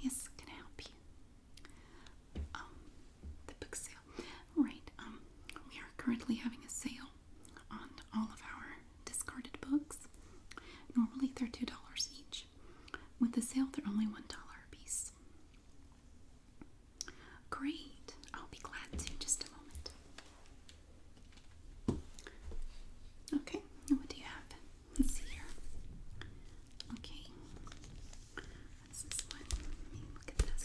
Yes, can I help you? Um, the book sale. Right, um, we are currently having a sale on all of our discarded books. Normally they're $2 each. With the sale, they're only $1 a piece. Great. I'll be glad to. Just a moment. Okay, what do you have? Let's see here. Okay. What's this one? Let me look at this.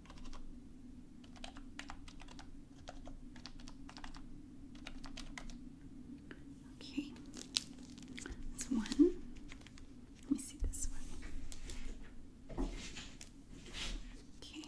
Okay, that's one. Let me see this one. Okay.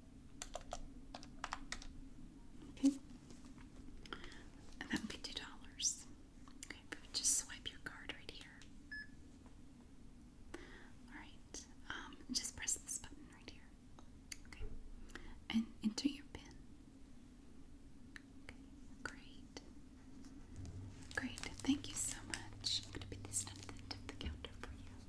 Okay. And then fifty dollars. Okay, just swipe your card right here. Alright. Um, just press this button right here. Okay. And enter your pin. Okay, great. Great. Thank you so much. I'm gonna put this down at the counter for you.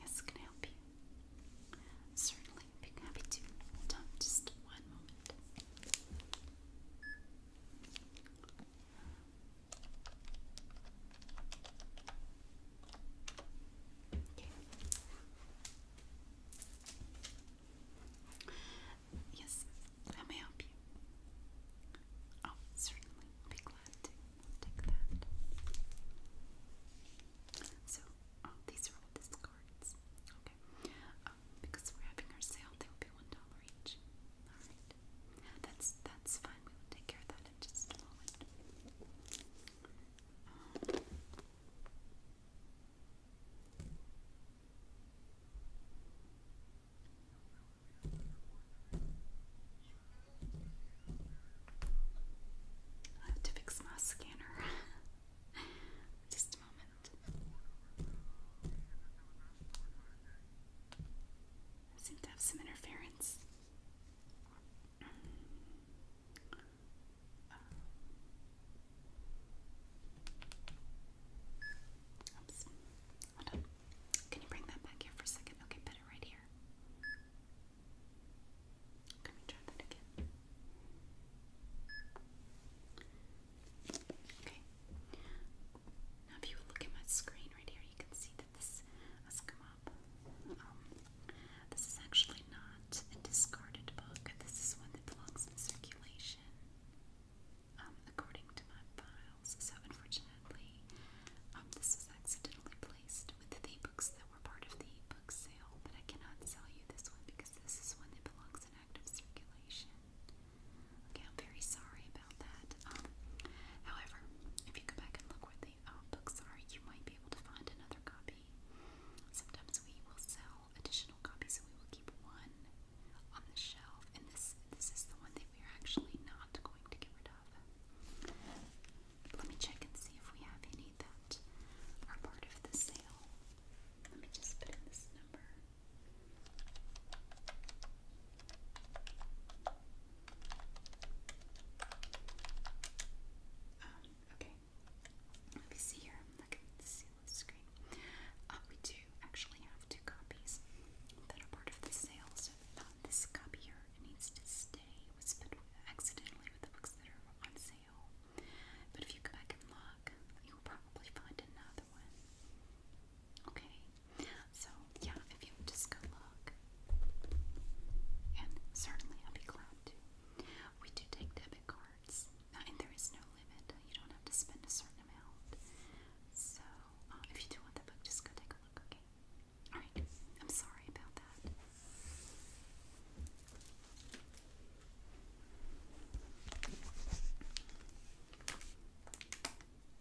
Yes, can I help you? Certainly, be happy to. just one moment. Okay. Yes, that may help you. Oh, certainly. Be glad to take that. So, oh, these are all discards. Okay. Oh, because we're having our sale, they will be $1 each. Alright. That's that's fine. We will take care of that in just a moment. I have to fix my scanner. just a moment. I seem to have some interference. Can you bring that back here for a second? Okay, put it right here. Let me try that again. Now, if you look at my screen right here, you can see that this um, this is actually not a discarded book. This is one that belongs in circulation, um, according to my files. So, unfortunately, um, this was accidentally placed with the books that were part of the book sale. But I cannot sell you this one because this is one that belongs in circulation. Okay, very sorry about that. Um, however, if you go back and look where the uh, books are, you might be able to find another copy. Sometimes we will sell additional copies, so we will keep one on the shelf. And this this is the one that we are actually not going to get rid of. Let me check and see if we have any that are part of the sale. Let me just put in this number. Um, okay. Let me see here. Look at the seal the screen. Uh, we do actually have two copies that are part of the sale, so this copy here needs to stay. was put accidentally with the books that are on sale. But if you go back and look, you'll probably find another one. Okay, so yeah, if you just go look, and certainly I'll be glad to. We do take debit cards, and there is no limit. You don't have to spend a certain amount. So um, if you do want the book, just go take a look. Okay. All right. I'm sorry about that.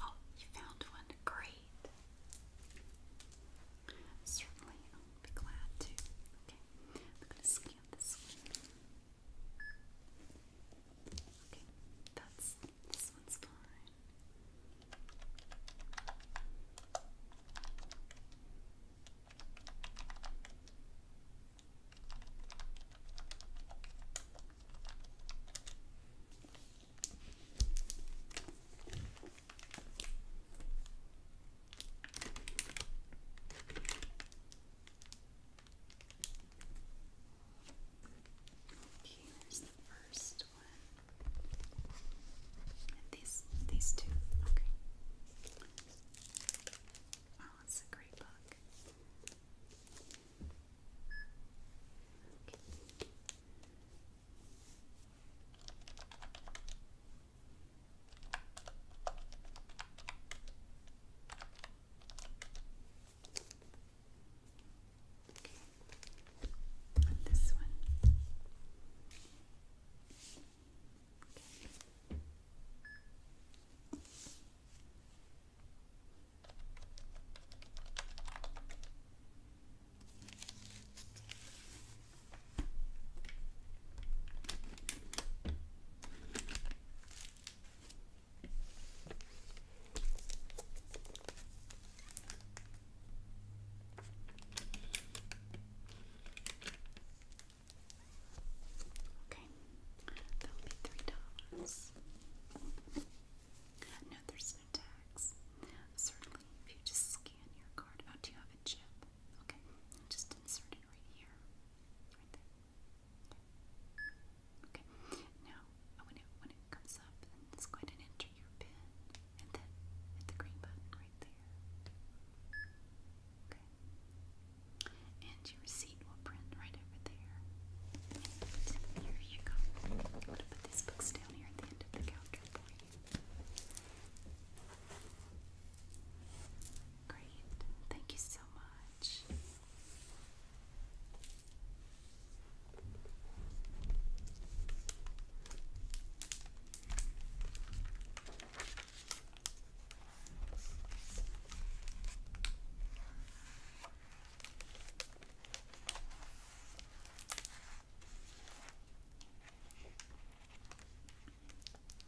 Oh, you found one. Great. Certainly, I'll be glad to. Okay, I'm going this one. Okay, that's this one's fine. Here's the first one. these these two. Okay. Oh, it's a great book. Okay. Okay. And this one. Okay. Okay. Okay, that'll be three dollars. No, there's no tax. Certainly, if you just scan your card. Oh, do you have a chip? Okay, just insert it right here. Right Okay. Now, when it when it comes up, just go ahead and enter your pin, and then hit the green button right there. Okay. And your receipt will print right over there. And here you go. I'm going to put these books down here at the end of the counter for you. Great. Thank you so much.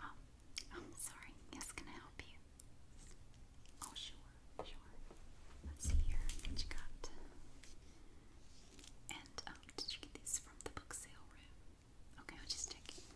Oh, I'm sorry. Yes, can I help you? Oh, sure, sure. Let's see here what you got. And um, did you get these from the book sale room? Okay, I'll just take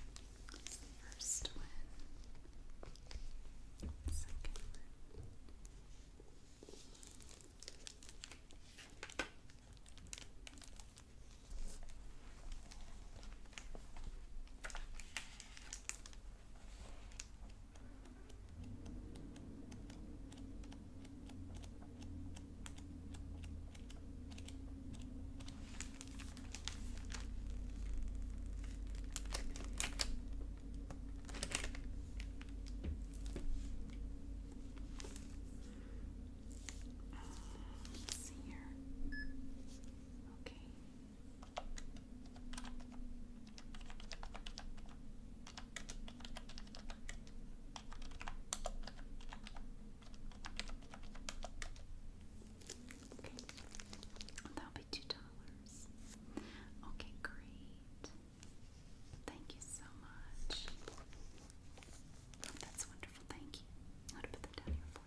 That's the first one. Second one. Okay. Let's see here. Okay. That'll be two dollars. Okay, great. Thank you so much. that's wonderful. Thank you. I'll put that down here for you.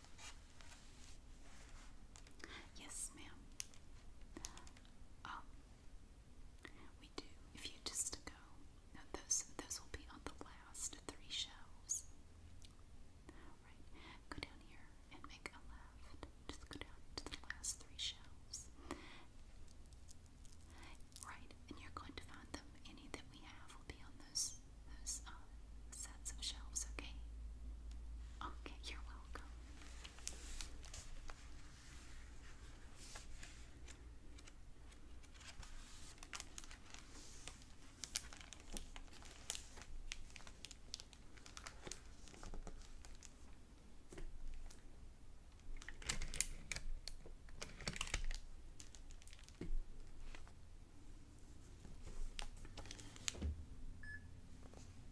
Yes, ma'am. Um, we do. If you just go, those those will be on the last three shelves. Right. Go down here and make a left. Just go down to the last three shelves. Right, and you're going to find them. Any that we have will be on those those um, sets of shelves, okay? Okay, you're welcome. Okay.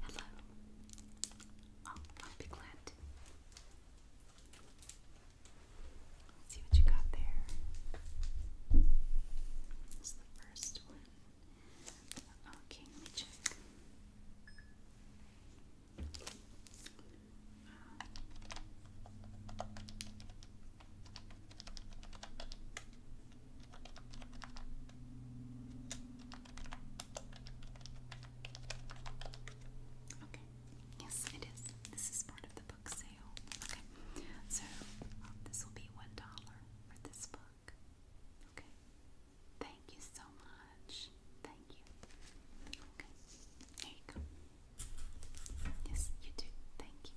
Hello. Oh, I'll glad. Let's see what you got there. It's the first one. Okay, let me check. Yes, it is. This is part of the book sale. Okay. So uh, this will be one dollar for this book. Okay? Thank you so much. Thank you. Okay. There you go. Yes, you do. Thank you.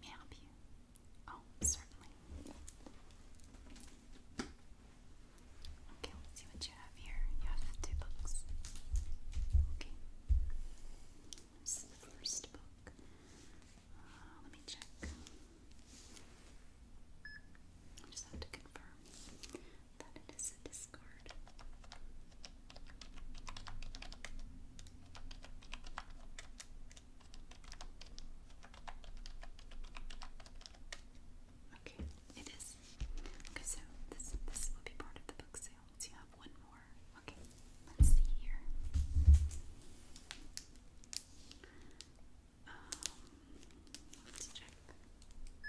May I help you? Oh, certainly. Okay, let's see what you have here. You have two books. Okay. This is the first book. Uh, let me check. I just have to confirm that it is a discard. Okay, it is. Okay, so this this will be part of the book Let's you have one more. Okay, let's see here. Um, let's check. Um,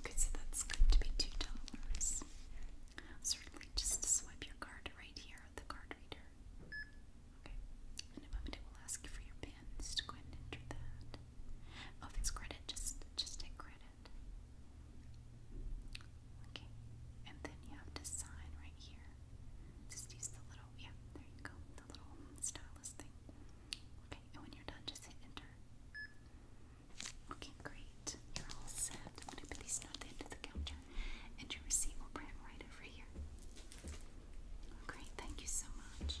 Okay, so that's going to be two dollars. Certainly, just swipe your card right here at the card reader. Okay, in a moment it will ask you for your PIN. Just go ahead and enter that. Oh, if it's credit, just just take credit. Okay, and then you have to sign right here. Just use the little yeah, there you go, the little stylus thing. Okay, and when you're done, just hit enter. Okay, great. You're all set. I'm going to put these on the end of the counter, and your receipt will print right over here. great, thank you so much.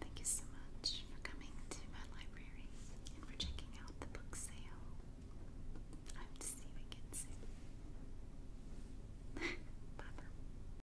Thank you so much for coming to my library and for checking out the book sale. I hope to see you again soon. Bye bye.